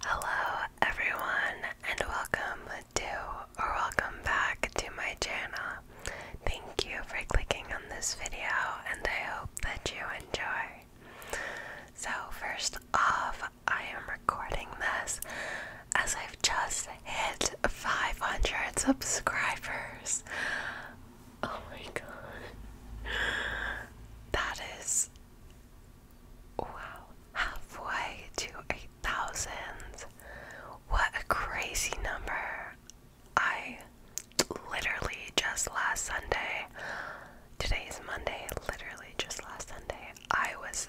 Hello everyone and welcome to or welcome back to my channel. Thank you for clicking on this video and I hope that you enjoy. So first off, I am recording this as I've just hit 500 subscribers. Oh my god. That is Wow, halfway to eight thousand. What a crazy number. I literally just last Sunday, today is Monday, literally just last Sunday, I was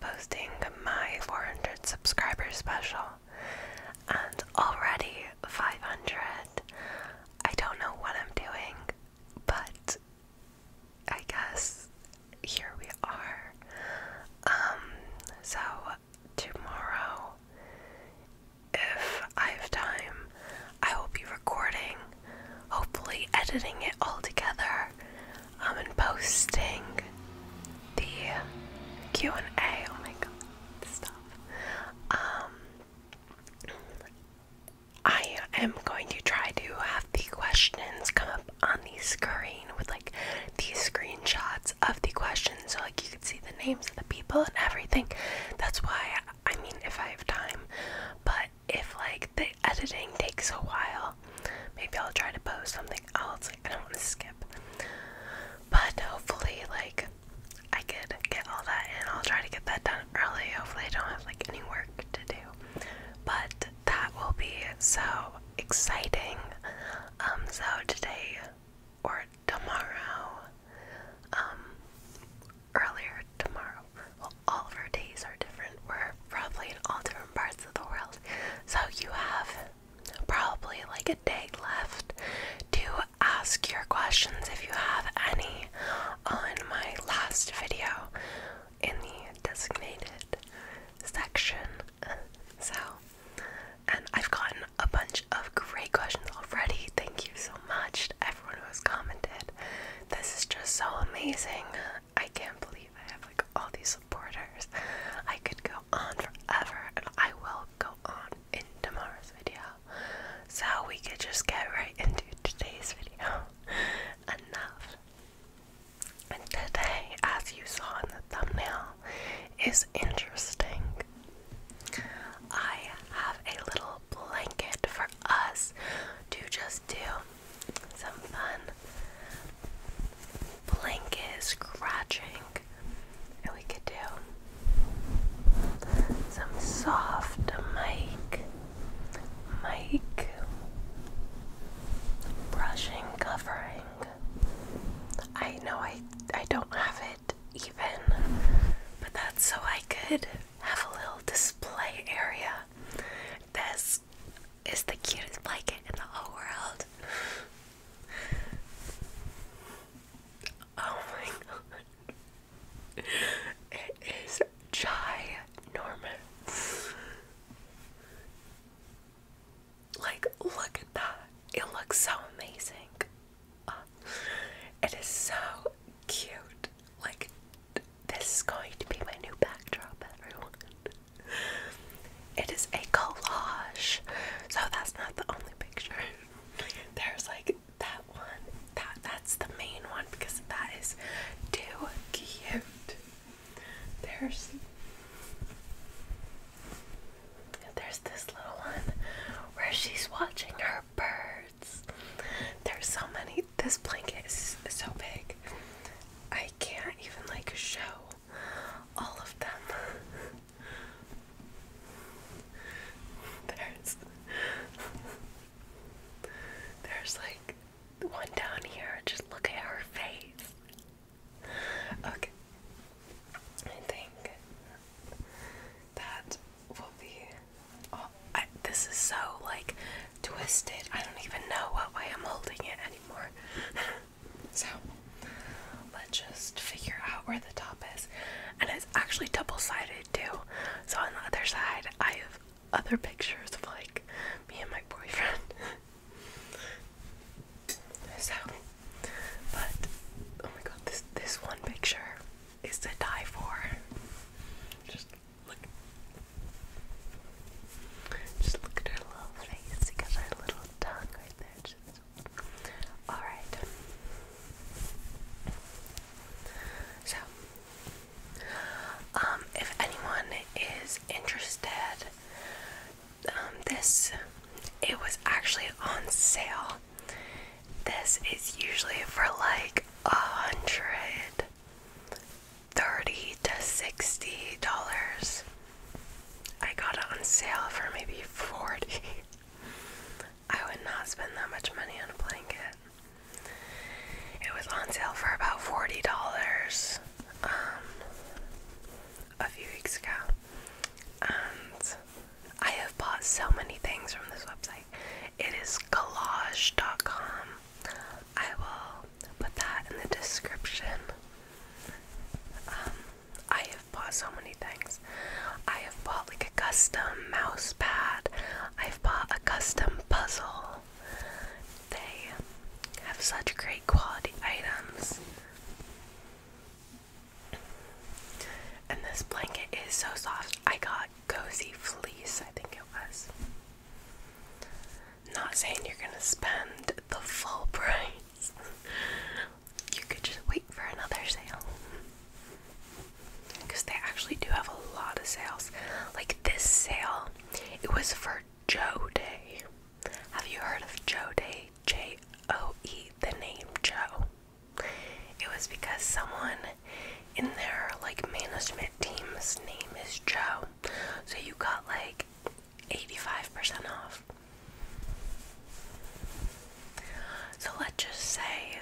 posting my 400 subscribers special and already 500. I don't know what I'm doing, but I guess here we are. Um, so tomorrow, if I have time, I will be recording, hopefully, editing it all together, um, and posting the Q and A. Oh my god, stop. Um, I am going to try to have the questions come up on the screen with like these screenshots of the questions so like you can see the names of the people and everything. That's why I mean if I have time. But if like the editing takes a while, maybe I'll try to post something else. Like I don't want to skip. But hopefully like I could get all that and I'll try to get that done early. Hopefully I don't have like any work but that will be so exciting. Um, so today or tomorrow, um, earlier tomorrow, all of our days are different. We're probably in all different parts of the world. So you have probably like a day left to ask your questions if you have any on my last video in the designated section. So, and I've gotten a bunch of great questions already. Thank you so much everyone who has commented. This is just so amazing. I can't believe I have like all these supporters. I could go on forever, and I will go on in tomorrow's video. So we could just get right into today's video. Enough. And today, as you saw in the thumbnail, is interesting. I have a little blanket for us to just do some fun blanket scratching, and we could do some soft mic Mike, brushing, covering. I know I I don't have it even, but that's so I could have a little display area. This is the cutest blanket in the whole world. Oh my god. It is ginormous. Like, look at that. It looks so amazing. Uh, it is so cute. Like, this is going to be my new backdrop, everyone. It is a collage. So, that's not the only picture. There's like that one. That that's the main one because that is too cute. There's there's this little one where she's watching her birds. There's so many. This blanket is so big. I can't even like show all of them. There's there's like one down here. Just look at her face. Okay. I think that will be. Oh, this is so like twisted. I don't even know what way I'm holding it anymore. so let's just figure out where the top is. And it's actually double sided too. So on the other side, I have other pictures of like me and my boyfriend. so, but oh my god, this this one picture is to die for. Just look, just look at her little face. She got her little tongue right there. Just, all right. So um, if anyone is interested, um, this it was actually on sale. This is usually for like a hundred thirty to sixty dollars. I got it on sale for maybe forty. I would not spend that much money on a blanket. It was on sale for about forty dollars um, a few weeks ago, and I have bought so many things from this website. It is collage.com. I will put that in the description. Um, I have bought so many things. I have bought like a custom mouse pad. I've bought a custom puzzle. They have such great quality items. And this blanket is so soft. I got Cozy Fleece, I think it was. Not saying you're gonna spend the full price. you could just wait for another sale because they actually do have a lot of sales. Like this sale, it was for Joe Day. Have you heard of Joe Day? J O E, the name Joe. It was because someone in their like management team's name is Joe. So you got like 85% off. So let's just say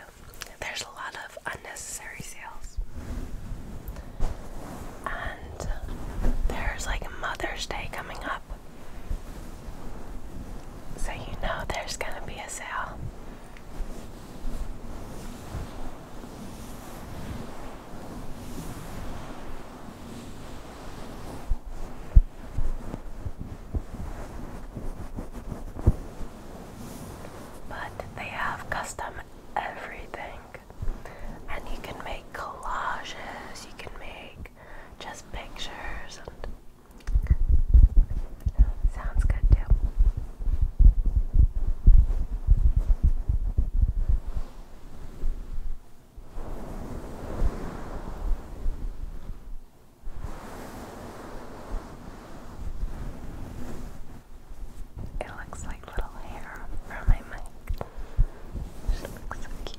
there's a lot of unnecessary sales. And there's like Mother's Day coming up. So you know there's going to be a sale. But they have custom everything. And you can make collages, you can make just pictures and Sounds good too. It looks like little hair from my mic. She looks so cute.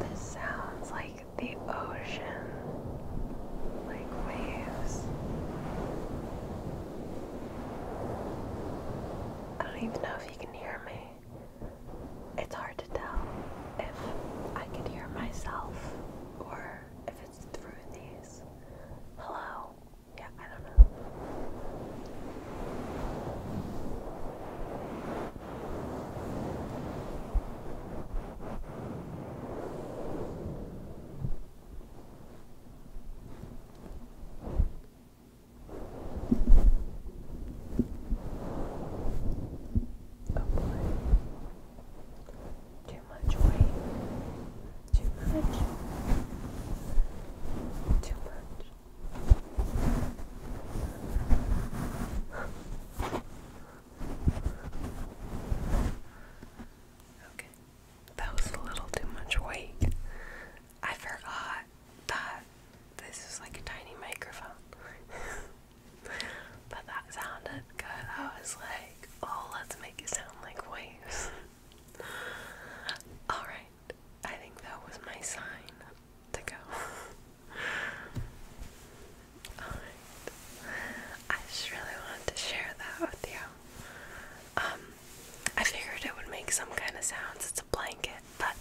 This sounds like the ocean, like waves. I don't even know if you can hear me. It's hard to tell if I can hear myself or if it's through these. Hello? Yeah, I don't know. Oh boy. Too much weight. Too much. Too much. Okay, that was a little too much weight. I forgot that this is like a tiny microphone. but that sounded good. I was like, oh, let's make it sound like waves. Alright, I think that was my sign to go. I really wanted to share that with you. Um, I figured it would make some kind of sounds. It's a blanket, but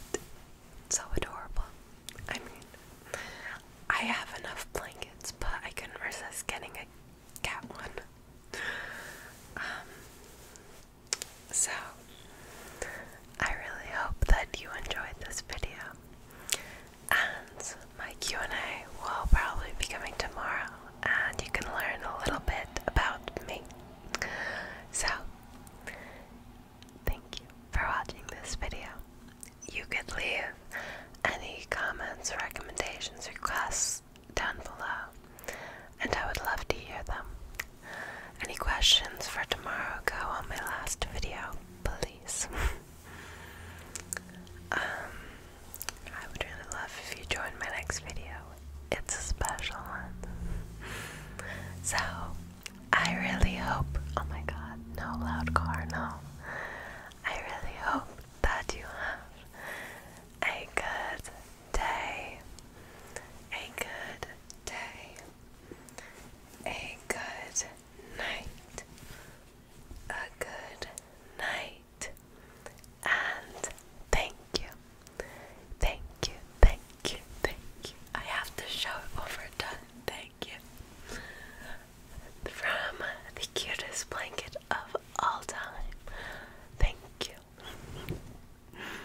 so adorable. I mean, I have enough blankets, but I couldn't resist getting a cat one. Um, so, I really hope that you enjoyed this video. And my Q&A will probably be coming tomorrow and you can learn a little bit about me. So, thank you for watching this video. You could leave any comments, recommendations, requests down below and I would love to hear them. Any questions for tomorrow go on my last video, please. um, I would really love if you joined my next video. It's a special one. so, I really hope, oh my god, no loud car, no. I really hope that you have a good day. A good day a good night, a good night, and thank you, thank you, thank you, thank you. I have to show it over done. Thank you from the cutest blanket of all time. Thank you.